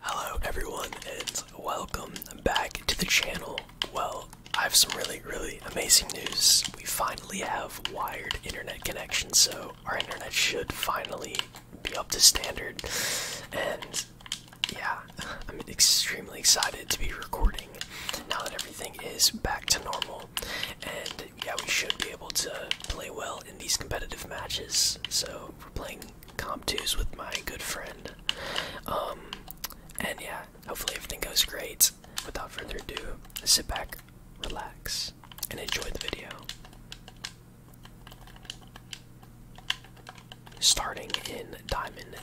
Hello, everyone, and welcome back to the channel. Well, I have some really, really amazing news. We finally have wired internet connection, so our internet should finally be up to standard. And yeah, I'm extremely excited to be recording now that everything is back to normal. And yeah, we should be able to play well in these competitive matches. So we're playing comp twos with my good friend, um, and yeah, hopefully everything goes great. Without further ado, sit back, relax, and enjoy the video. Starting in diamond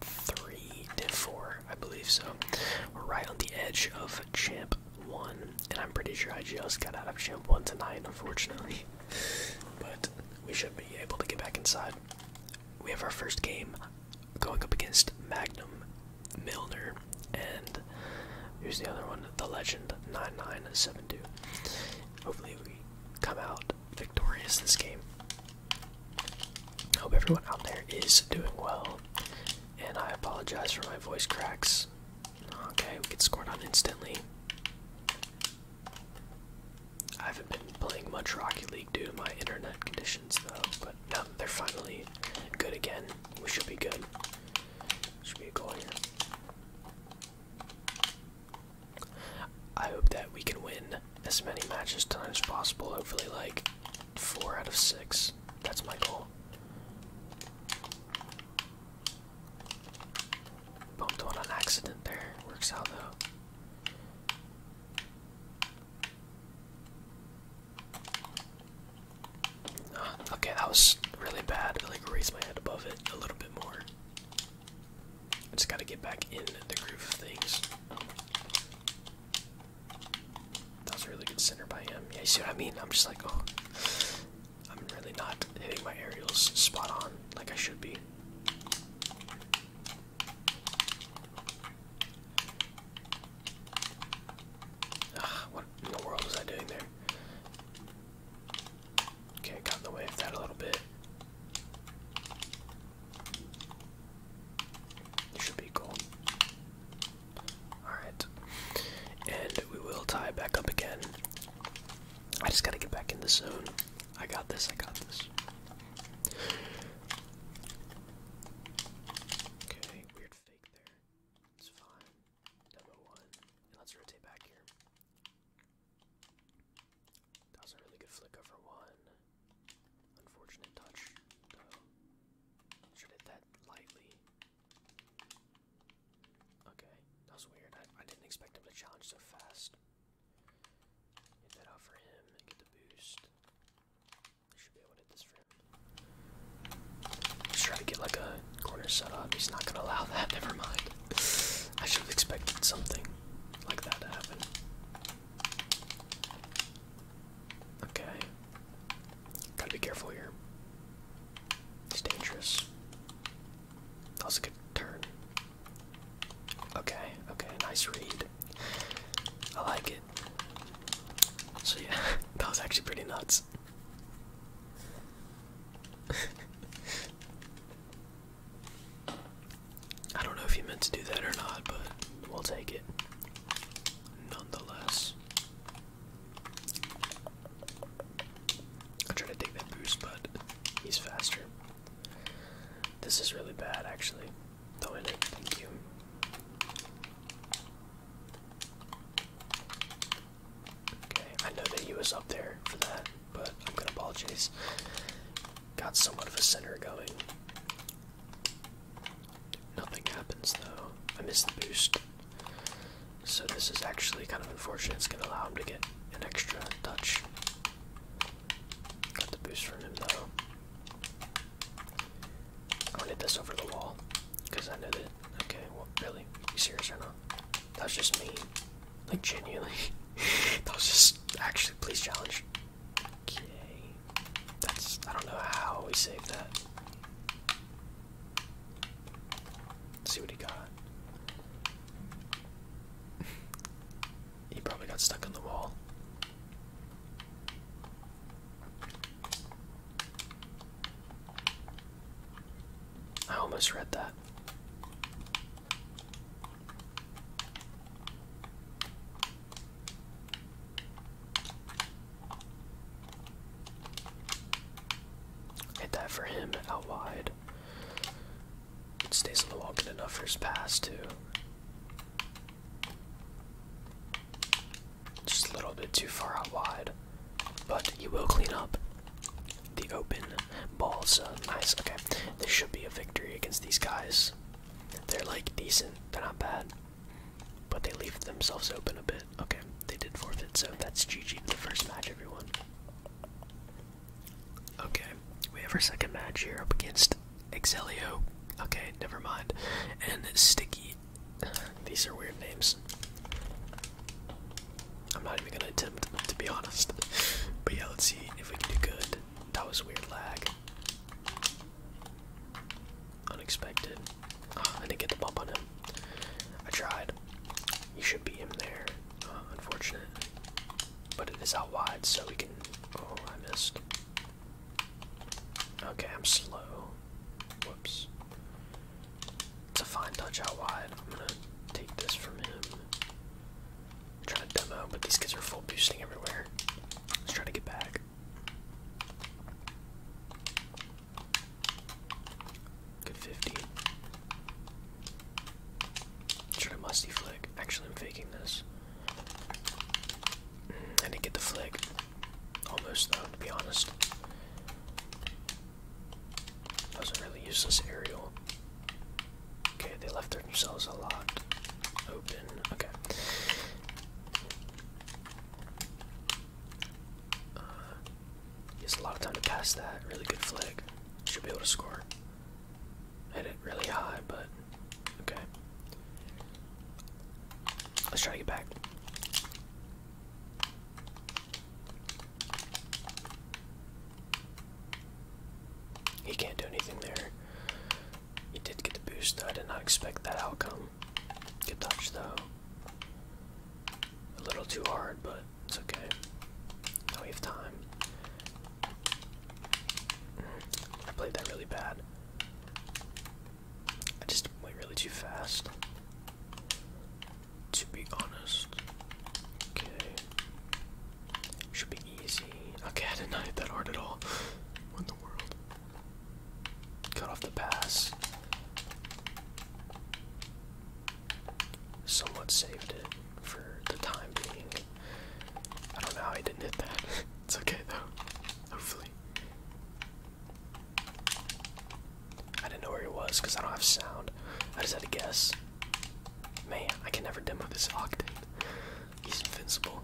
three to four, I believe so. We're right on the edge of Champ 1, and I'm pretty sure I just got out of Champ 1 tonight, unfortunately. but we should be able to get back inside. We have our first game going up against Magnum, Milner, and here's the other one, The Legend 9972. Hopefully, we come out victorious this game. I Hope everyone out there is doing well, and I apologize for my voice cracks. Okay, we get scored on instantly. I haven't been playing much Rocky League due to my internet conditions though, but now they're finally good again. We should be good. Should be a goal here. I hope that we can win as many matches tonight as possible. Hopefully, like four out of six. That's my goal. Bumped one on accident there. Works out though. Uh, okay, that was really bad. I like raised my head above it a little bit more. I just gotta get back in the groove of things. That was a really good center by him. Yeah, you see what I mean? I'm just like, oh, I'm really not hitting my aerials spot on like I should be. Ah, what in the world was I doing there? Okay, got in the way of that a little bit. should be cool. Alright. And we will tie back up again. I just gotta get back in the zone. I got this, I got this. Okay, weird fake there. It's fine. Demo one. let's rotate back here. That was a really good flick over one. Unfortunate touch, Should hit that lightly. Okay, that was weird. I, didn't expect him to challenge so fast. Get that out for him get the boost. I should be able to hit this for him. Just try to get like a corner set up. He's not gonna allow that. Never mind. I should have expected something like that to happen. Okay. Gotta be careful here. It's dangerous. That was a good turn. Okay, okay, nice read. I like it. So yeah, that was actually pretty nuts. I don't know if you meant to do that or not, but we'll take it. Nonetheless. I'm trying to take that boost, but he's faster. This is really bad, actually. do Thank you. Okay, I know that he was up there for that, but I'm gonna ball Got somewhat of a center going. Nothing happens though. I missed the boost. So this is actually kind of unfortunate. It's going to allow him to get an extra touch. Got the boost from him though. I'm gonna hit this over the wall because I know that. Okay, well, really? You serious or not? That was just me. Like genuinely. that was just actually. Please challenge. Okay. That's. I don't know how we saved that see what he got. he probably got stuck on the wall. I almost read that. Hit that for him out wide. It stays on the wall good enough for his pass, too. Just a little bit too far out wide. But you will clean up the open balls. nice, okay. This should be a victory against these guys. They're like decent, they're not bad. But they leave themselves open a bit. Okay, they did forfeit, so that's GG to the first match, everyone. Okay, we have our second match here up against Excelio. Okay, never mind. And Sticky. These are weird names. I'm not even gonna attempt, to be honest. But yeah, let's see if we can do good. That was weird lag. Unexpected. I didn't get the bump on him. I tried. You should be him there. unfortunate. But it is out wide, so we can. Oh, I missed. Okay, I'm slow. Whoops. It's a fine touch out wide. I'm gonna take this from him. trying to demo, but these kids are full boosting everywhere. Let's try to get back. Good 50. Should I musty flick? Actually, I'm faking this. Mm, I didn't get the flick. Almost, though, to be honest. That was not really useless aerial. Okay, they left themselves a lot open. Okay. Uh, a lot of time to pass that. Really good flick. Should be able to score. Hit it really high, but okay. Let's try to get back. He can't do anything there. He did get the boost, though. I did not expect that outcome. Good touch, though. A little too hard, but it's okay. Now we have time. Mm, I played that really bad. I just went really too fast. To be honest. Okay. Should be easy. I did not hit that hard at all. what in the world? Cut off the pass somewhat saved it for the time being. I don't know how I didn't hit that. it's okay though. Hopefully. I didn't know where he was because I don't have sound. I just had to guess. Man, I can never demo this Octane. He's invincible.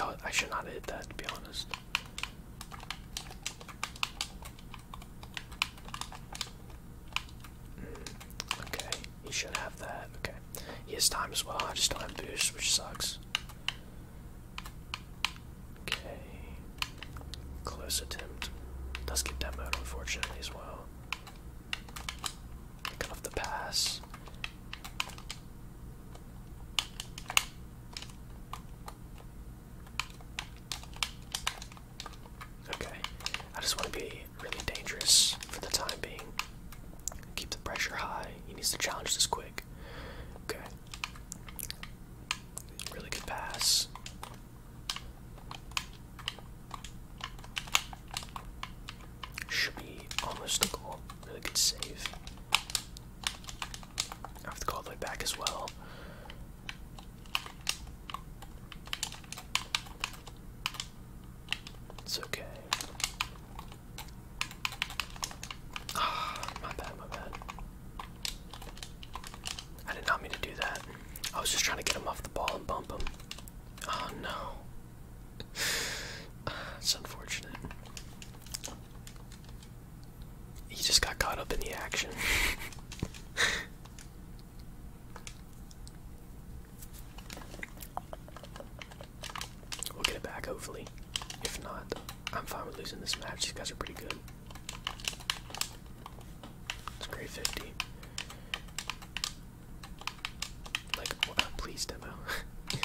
Oh, I should not hit that to be honest. Okay, he should have that. Okay. He has time as well. I just don't have boost, which sucks. Okay. Close attempt. Does get demoed, unfortunately, as well. Cut off the pass. Okay. I just want to be really dangerous for the time being. Keep the pressure high. He needs to challenge this quick. Okay. Really good pass. Should be almost a goal. Really good save. I have to go all the way back as well. It's okay. Ah, my bad, my bad. I did not mean to do that. I was just trying to get him off the ball and bump him. Oh no. it's unfortunate. He just got caught up in the action. we'll get it back, hopefully. If not, I'm fine with losing this match. These guys are pretty good. It's grade 50. Like, please, demo.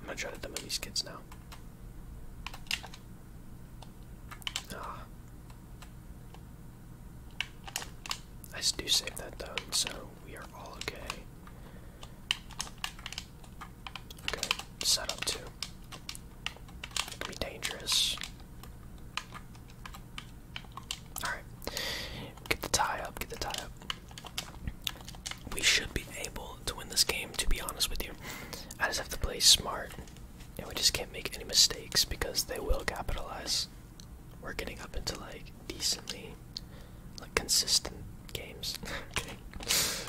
I'm gonna try to demo these kids now. Ah. I do save that though, so we are all okay. Okay, set up two. can be dangerous. Alright. Get the tie up, get the tie up. We should be able to win this game, to be honest with you. I just have to play smart, and we just can't make any mistakes because they will capitalize. We're getting up into like decently, like consistent games.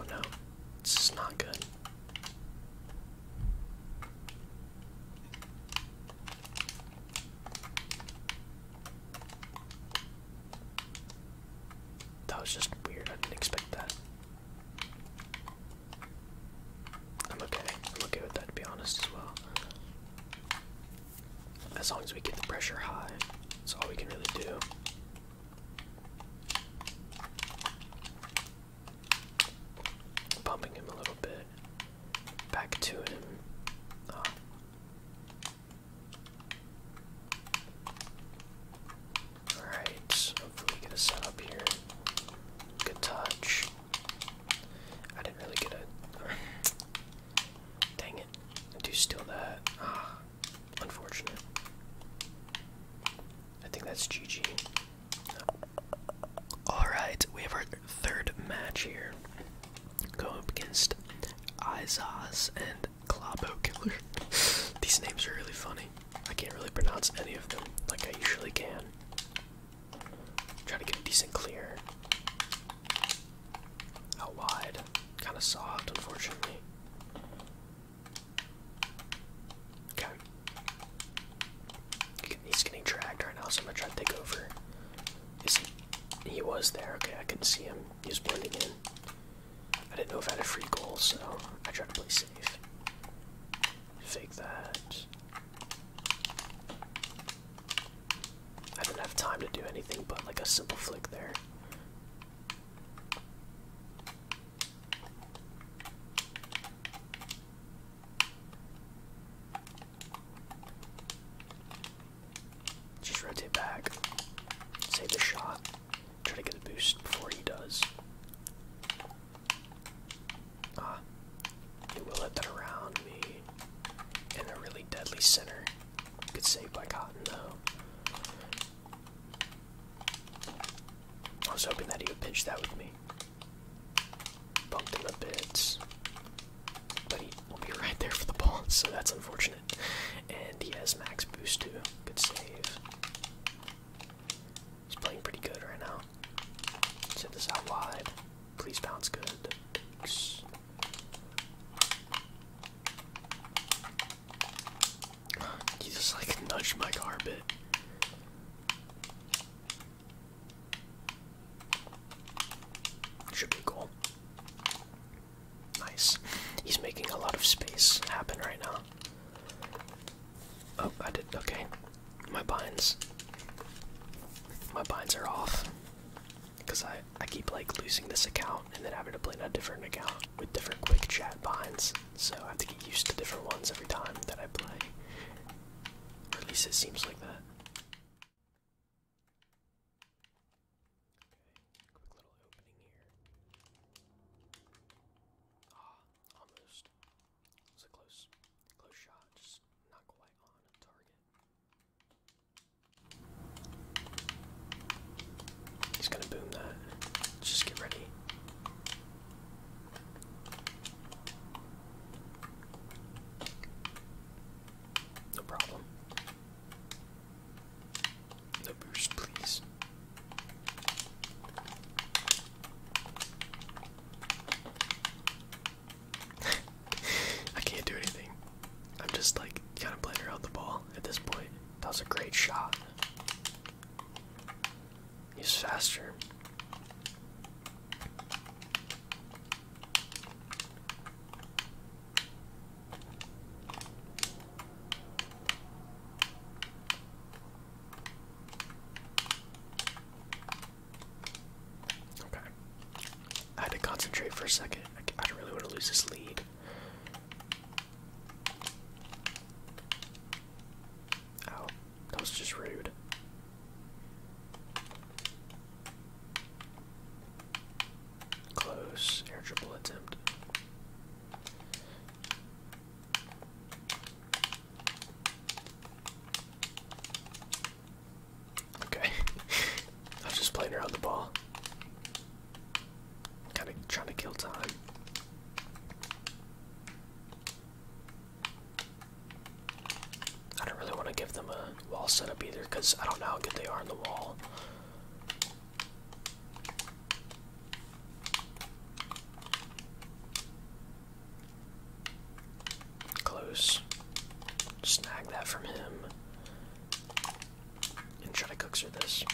Oh no, this is not good. That was just weird. I didn't expect that. I'm okay. I'm okay with that, to be honest, as well. As long as we get the pressure high, that's all we can really do. Bumping him a little bit. Back to him. Oh. Alright, hopefully get a setup here. Good touch. I didn't really get a. Dang it. I do steal that. Ah, unfortunate. I think that's GG. Alright, we have our third match here. Going against Izaz and Globo These names are really funny. I can't really pronounce any of them like I usually can. Try to get a decent clear. Out wide. Kind of soft, unfortunately. He's getting tracked right now, so I'm gonna try to take over. Is he? He was there. Okay, I can see him. He's blending in. I didn't know if I had a free goal, so I tried to play safe. Fake that. I didn't have time to do anything but like a simple flick there. Just rotate back. Save the shot. Try to get a boost before he does. Ah. He will let that around me. And a really deadly center. Good save by Cotton, though. I was hoping that he would pitch that with me. Bumped him a bit. But he will be right there for the ball, so that's unfortunate. And he has max boost too. Good save. He's playing pretty good right now. Send this out wide. Please bounce good. He just like nudged my car bit. Should be a Nice. He's making a lot of space happen right now. Oh, I did. Okay. My binds. My binds are off. Because I, I keep like losing this account and then having to play on a different account with different quick chat binds. So I have to get used to different ones every time that I play. at least it seems like that. Okay, quick little opening here. Ah, almost. It a close, close shot, just not quite on target. He's gonna boom that. Just get ready. No problem. The boost, please. I can't do anything. I'm just like kind of playing around the ball at this point. That was a great shot. He's faster. Okay. I had to concentrate for a second. I, I don't really want to lose this lead. Oh, that was just rude. Close. Air triple attempt. Okay. I was just playing around the ball. Kinda trying to kill time. I don't really want to give them a wall setup either because I don't know how good they are in the wall. Close. Snag that from him. And try to cookser this.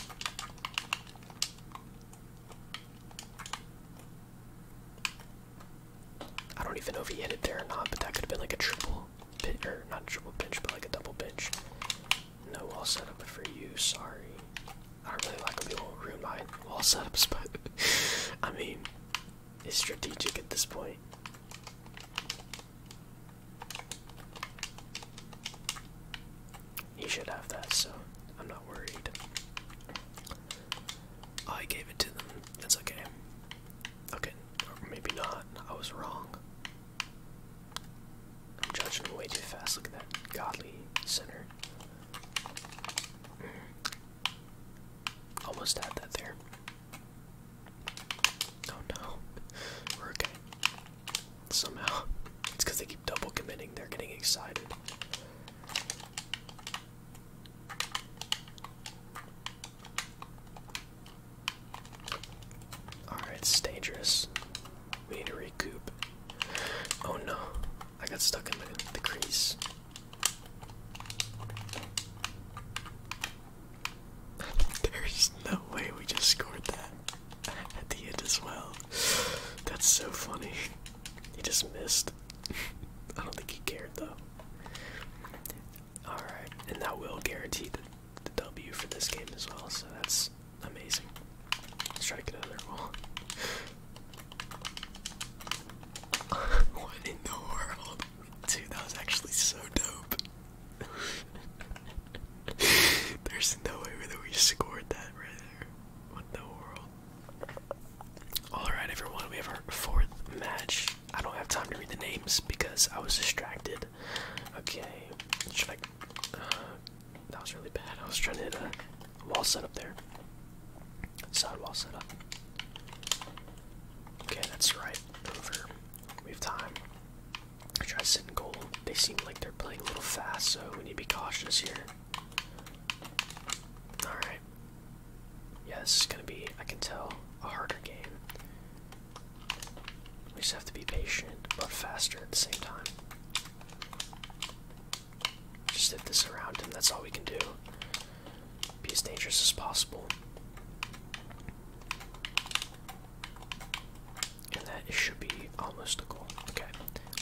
I don't even know if he hit it there or not, but that could have been like a triple pinch, or not triple pinch, but like a double pinch. No wall setup for you, sorry. I don't really like the old room line wall setups, but I mean, it's strategic at this point. He should have that, so I'm not worried. Oh, I gave it to them. That's okay. Okay, or maybe not. I was wrong. I'm judging him way too fast. Look at that godly center. Almost had that there. Oh no. We're okay. Somehow. It's because they keep double committing. They're getting excited. Alright, it's dangerous. We need to recoup. Oh no, I got stuck in the, crease. There's no way we just scored that at the end as well. That's so funny. He just missed. I don't think he cared though. Alright, and that will guarantee the W for this game as well, so that's amazing. Let's try to get out of what in the world? Dude, that was actually so dope. There's no way that we scored that right there. What in the world? Alright, everyone, we have our fourth match. I don't have time to read the names because I was distracted Okay, should I? Uh, that was really bad. I was trying to hit a wall setup there. Side wall setup. Okay, that's right. Over. We have time. I try sitting goal. They seem like they're playing a little fast, so we need to be cautious here. Alright. Yeah, this is gonna be, I can tell, a harder game. We just have to be patient, but faster at the same time. Just hit this around him, that's all we can do. Be as dangerous as possible. And that should be almost a goal. Okay,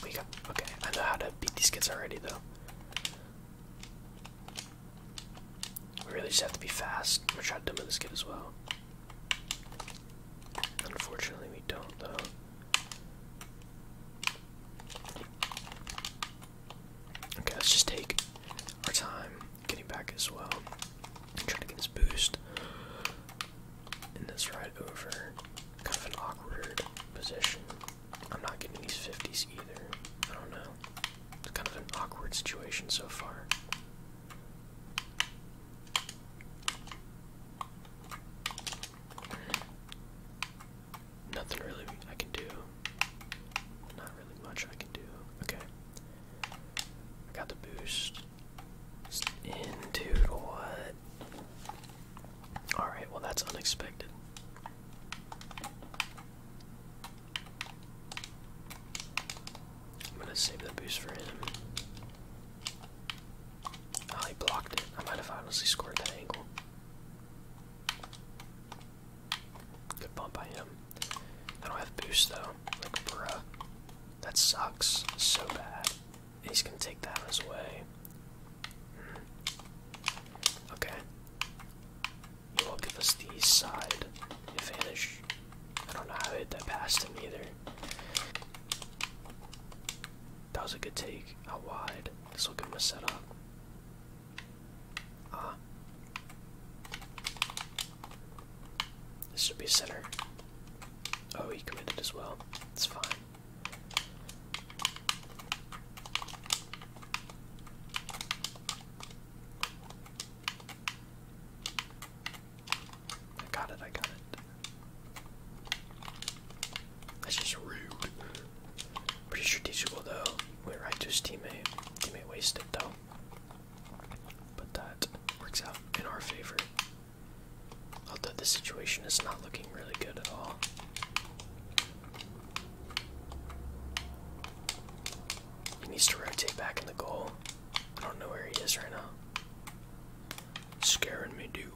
we got. Okay, I know how to beat these kids already, though. We really just have to be fast. I'm gonna try to demo this kid as well. Unfortunately, we don't, though. Okay, let's just take our time getting back as well. I'm trying to get this boost. And this right over. Kind of an awkward position. I'm not getting these 50s either. I don't know. It's kind of an awkward situation so far. Nothing really I can do. Not really much I can do. Okay. I got the boost. Into dude, what? Alright, well that's unexpected. I'm gonna save that boost for him. Oh, he blocked it. I might have honestly scored that angle. Good bump by him. I don't have boost though. Like, bruh. That sucks so bad. he's gonna take that on his way. Hmm. Okay. He will give us the side advantage. I don't know how I hit that past him either. That was a good take. How wide? This will give him a setup. Ah. This should be center. Oh, he committed as well. It's fine. I got it, I got it. That's just rude. Pretty strategical though. Went right to his teammate. Teammate wasted though. But that works out in our favor. Although the situation is not looking really good at all. He needs to rotate back in the goal. I don't know where he is right now. Scaring me, dude.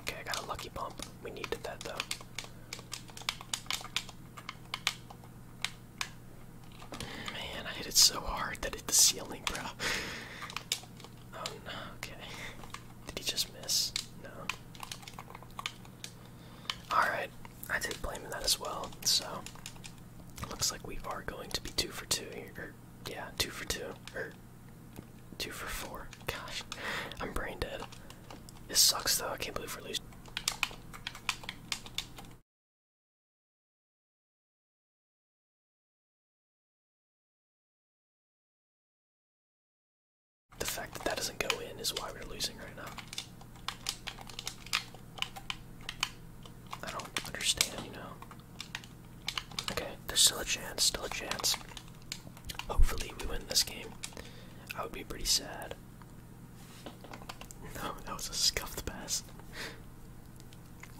Okay, I got a lucky bump. We needed that though. Man, I hit it so hard that hit the ceiling, bro. Oh no, okay. Did he just miss? No. Alright, I take blame in that as well, so looks like we are going to be two for two here. yeah, two for two. Or two for four. Gosh, I'm brain dead. This sucks though, I can't believe we're losing. The fact that that doesn't go in is why we're losing right now. I don't understand, you Okay, there's still a chance, still a chance. Hopefully we win this game. I would be pretty sad. No, that was a scuffed pass.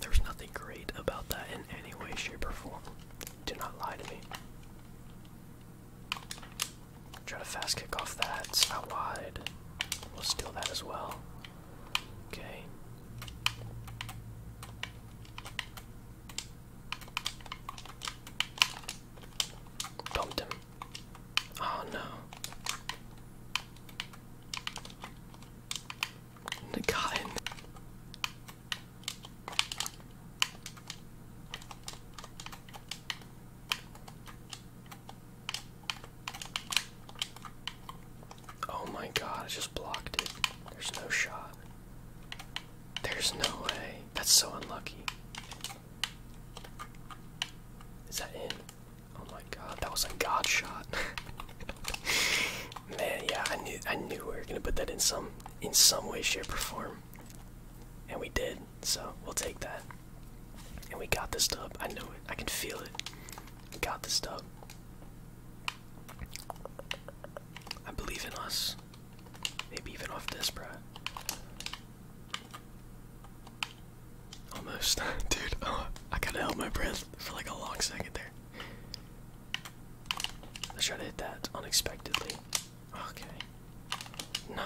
there was nothing great about that in any way, shape, or form. Do not lie to me. Try to fast kick off that. It's not wide. We'll steal that as well. Okay. Bumped him. Oh no. The guy. Oh my god, I just blocked it. There's no shot. There's no way. That's so unlucky. Is that in? Oh my god, that was a god shot. Man, yeah, I knew I knew we were gonna put that in some in some way, shape, or form. And we did, so we'll take that. And we got this dub. I know it. I can feel it. We got this dub. I believe in us. Maybe even off this, bro. Almost. Dude, uh, I gotta hold my breath for like a long second there. Let's try to hit that unexpectedly. Okay. No,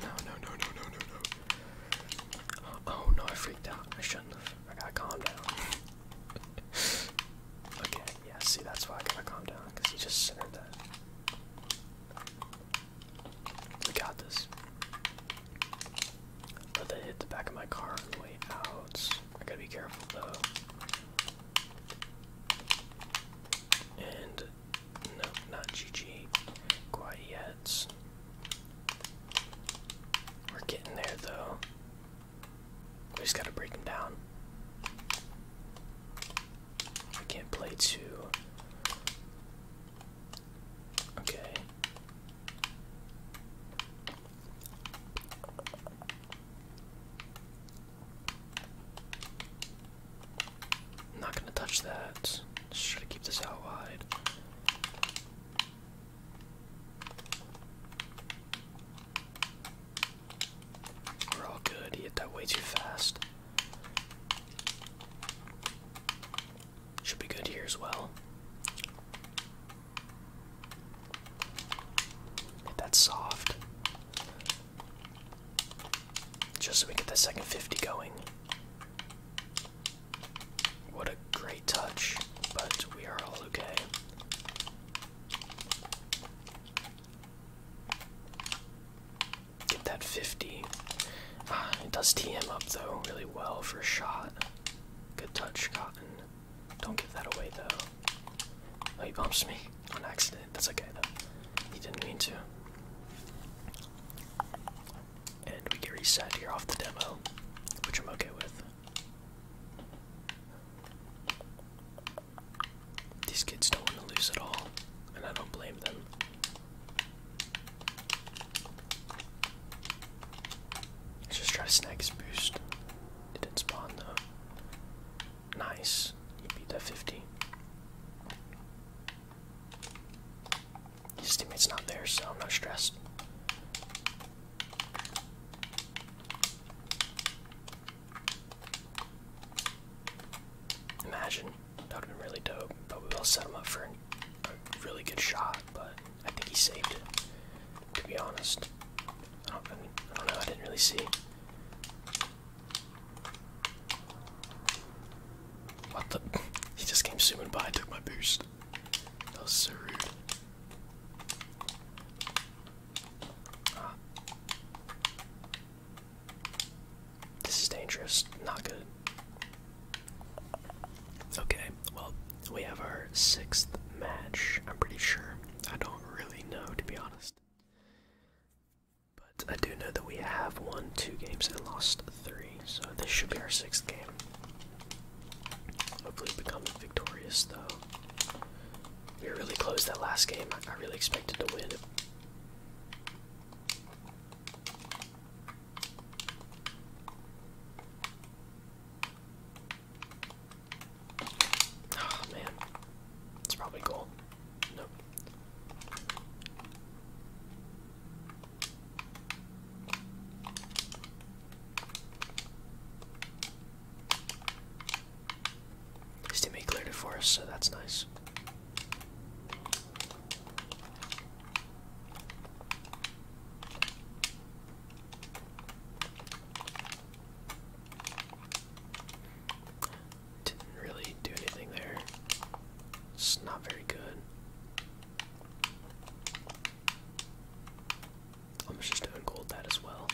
no, no, no, no, no, no, no. Oh no, I freaked out. I shouldn't have. I gotta calm down. okay, yeah, see, that's why I gotta calm down, because he just centered that. We got this. But they hit the back of my car on the way out. I gotta be careful though. And no, not GG quite yet. We're getting there though. We just gotta break him down. I can't play two. Okay. I'm not gonna touch that. Just try to keep this out wide. We're all good. hit that way too fast. Should be good here as well. Hit that soft. Just so we get the second 50 going. What a great touch, but we are all okay. Get that 50. Ah, it does him up though really well for a shot. Good touch, Cotton. Don't give that away though. Oh, he bumps me on accident. That's okay though. He didn't mean to. And we get reset here off the demo, which I'm okay with. These kids don't want to lose at all, and I don't blame them. Let's just try to snag his boost. It didn't spawn though. Nice. He beat that 50. His teammate's not there, so I'm not stressed. Imagine. That would have been really dope. But we will set him up for a really good shot, but I think he saved it, to be honest. I don't know, I didn't really see. What the? He just came zooming by took my boost. That was so rude. Ah. This is dangerous. Not good. Okay, well, we have our sixth match, I'm pretty sure. I don't really know, to be honest. But I do know that we have won two games and lost three, so this should be our sixth game. Hopefully, becoming victorious, though. We were really close that last game. I really expected to win. Oh man, it's probably gold. Nope. His teammate cleared it for us, so that's nice. Didn't really do anything there. It's not very good. I'm just doing gold that as well.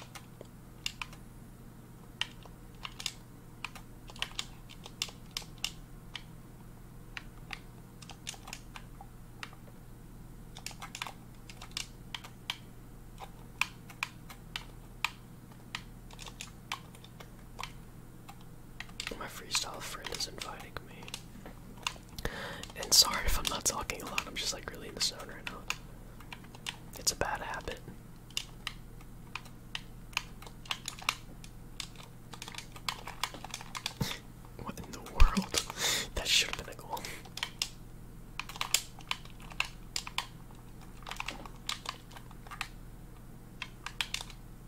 My freestyle friend is inviting me. And sorry if I'm not talking a lot, I'm just like really in the zone right now. It's a bad habit. what in the world? that should have been a goal.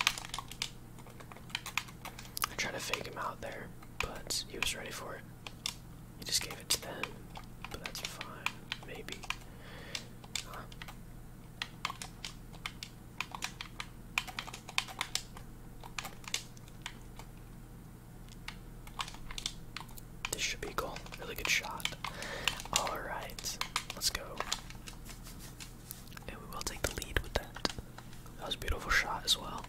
I tried to fake him out there, but he was ready for it. He just gave it to them, but that's fine. Maybe. This should be a goal. Really good shot. Alright, let's go. And we will take the lead with that. That was a beautiful shot as well.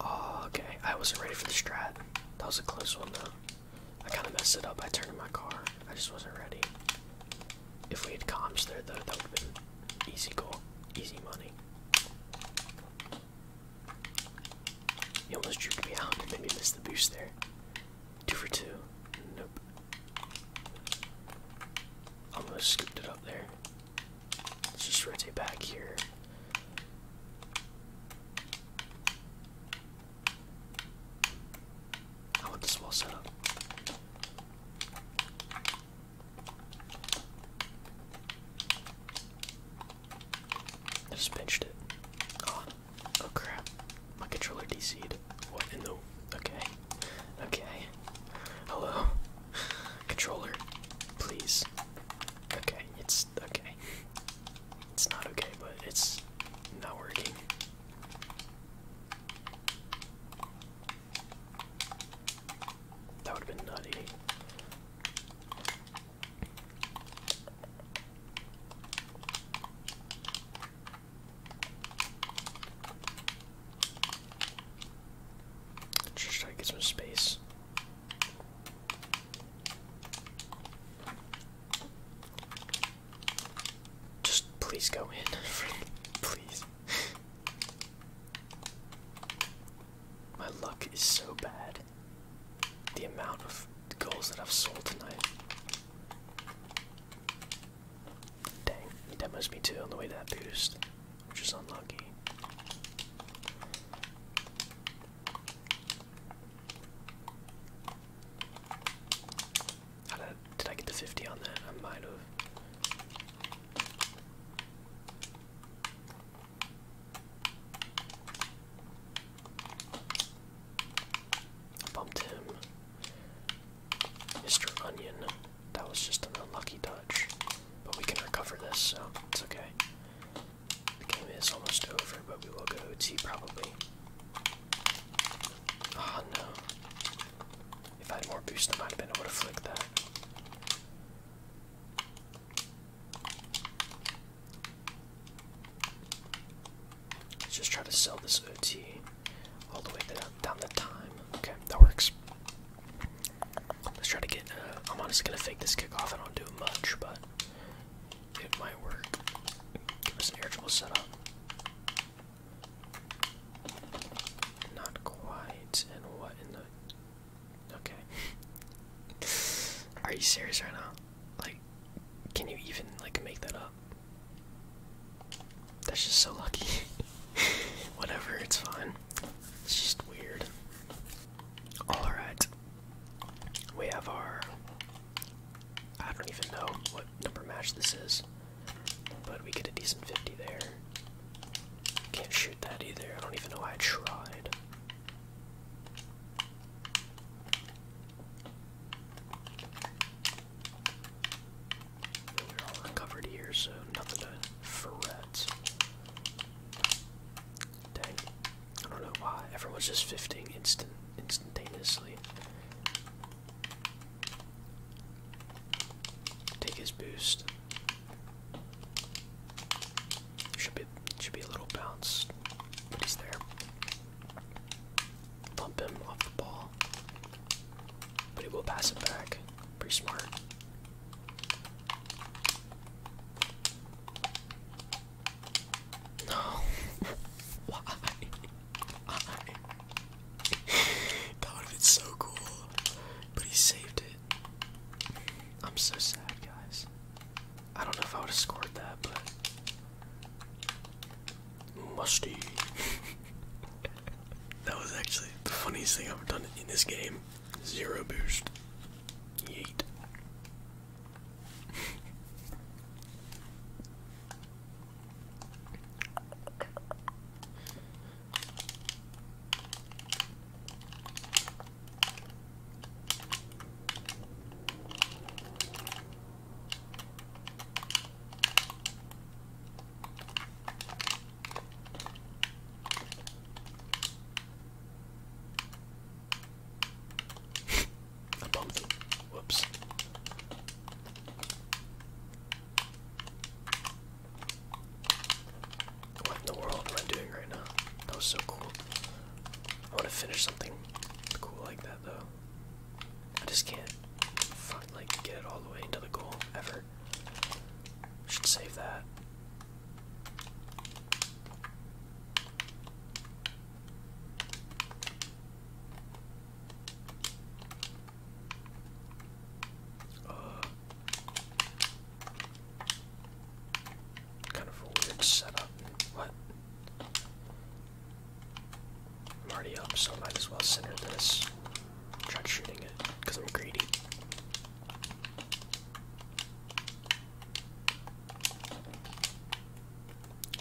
Oh, okay. I wasn't ready for the strat. That was a close one, though. I kind of messed it up. I turned in my car. I just wasn't ready. If we had comms there, though, that would have been easy goal. Easy money. He almost drew me out and made me miss the boost there. Two for two. Nope. Almost scooped it up there. Let's just rotate back here. I want this wall set up. I just pinched it. Ah. Oh crap. My controller DC'd. What in the okay. Okay. Hello. Controller. Please. Okay, it's okay. It's not okay, but it's not working. That would have been nutty. Just try to get some space. Just please go in. please. My luck is so bad. The amount of goals that I've sold tonight. Dang, that must be two on the way to that boost, which is unlucky. How did I, get the 50 on that? I might have. Bumped him. Mr. Onion. That was just an unlucky touch. But we can recover this, so it's okay. The game is almost over, but we will go OT probably. Oh no. If I had more boost I might have been, I would have that. Let's just try to sell this OT all the way down, the time. Okay, that works. Let's try to get. Uh, I'm honestly gonna fake this kickoff. I don't do much, but it might work. Give us an air setup. Not quite. And what in the? Okay. Are you serious right now? Like, can you even like make that up? That's just so lucky. Whatever, it's fine. It's just weird. Alright. We have our. I don't even know what number match this is. But we get a decent 50 there. Can't shoot that either. I don't even know why I tried. We're all recovered here, so nothing to fret. Dang. I don't know why. Everyone's just fisting instant instantaneously. Take his boost. Should be should be a little bounce, but there. Bump him off the ball. But he will pass it back. Pretty smart. No. Why? that would have been so cool. But he saved it. I'm so sad, guys. I don't know if I would have scored that, but musty. that was actually the funniest thing I've done in this game. Zero boost. Yeet. Whoops. What in the world am I doing right now? That was so cool. I want to finish something cool like that though. I just can't find, like get it all the way into the goal ever. Should save that. kind of a weird setup. What? I'm already up, so I might as well center this. Try shooting it, because I'm greedy.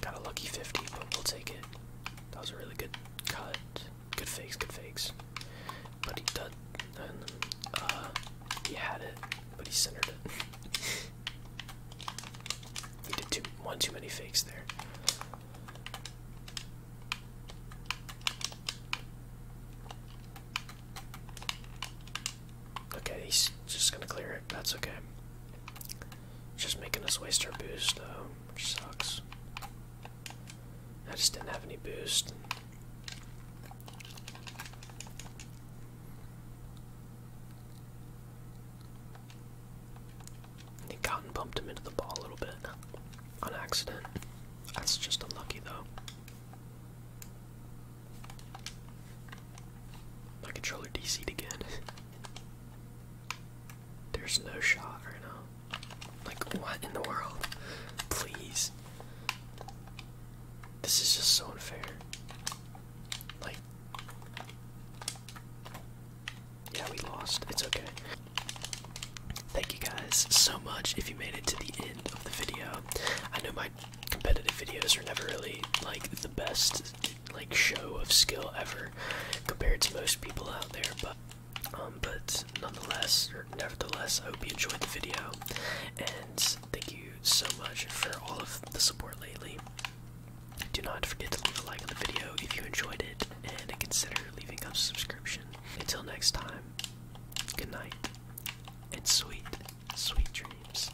Got a lucky 50, but we'll take it. That was a really good cut. Good fakes, good fakes. But he did, and uh, he had it, but he centered it. We did too, one too many fakes there. Okay, he's just gonna clear it. That's okay. Just making us waste our boost, though, sucks. I just didn't have any boost. He got and bumped him into the ball a little bit on accident. That's just unlucky, though. My controller DC'd again. There's no shot right now. Like, what in the world? Please. This is just so unfair. Like, yeah, we lost. It's okay. Thank you guys so much if you made it to the end of the video. I know my competitive videos are never really like the best like show of skill ever compared to most people out there, but um but nonetheless nevertheless I hope you enjoyed the video and thank you so much for all of the support lately. Do not forget to leave a like on the video if you enjoyed it, and consider leaving a subscription. Until next time, good night, and sweet, sweet dreams.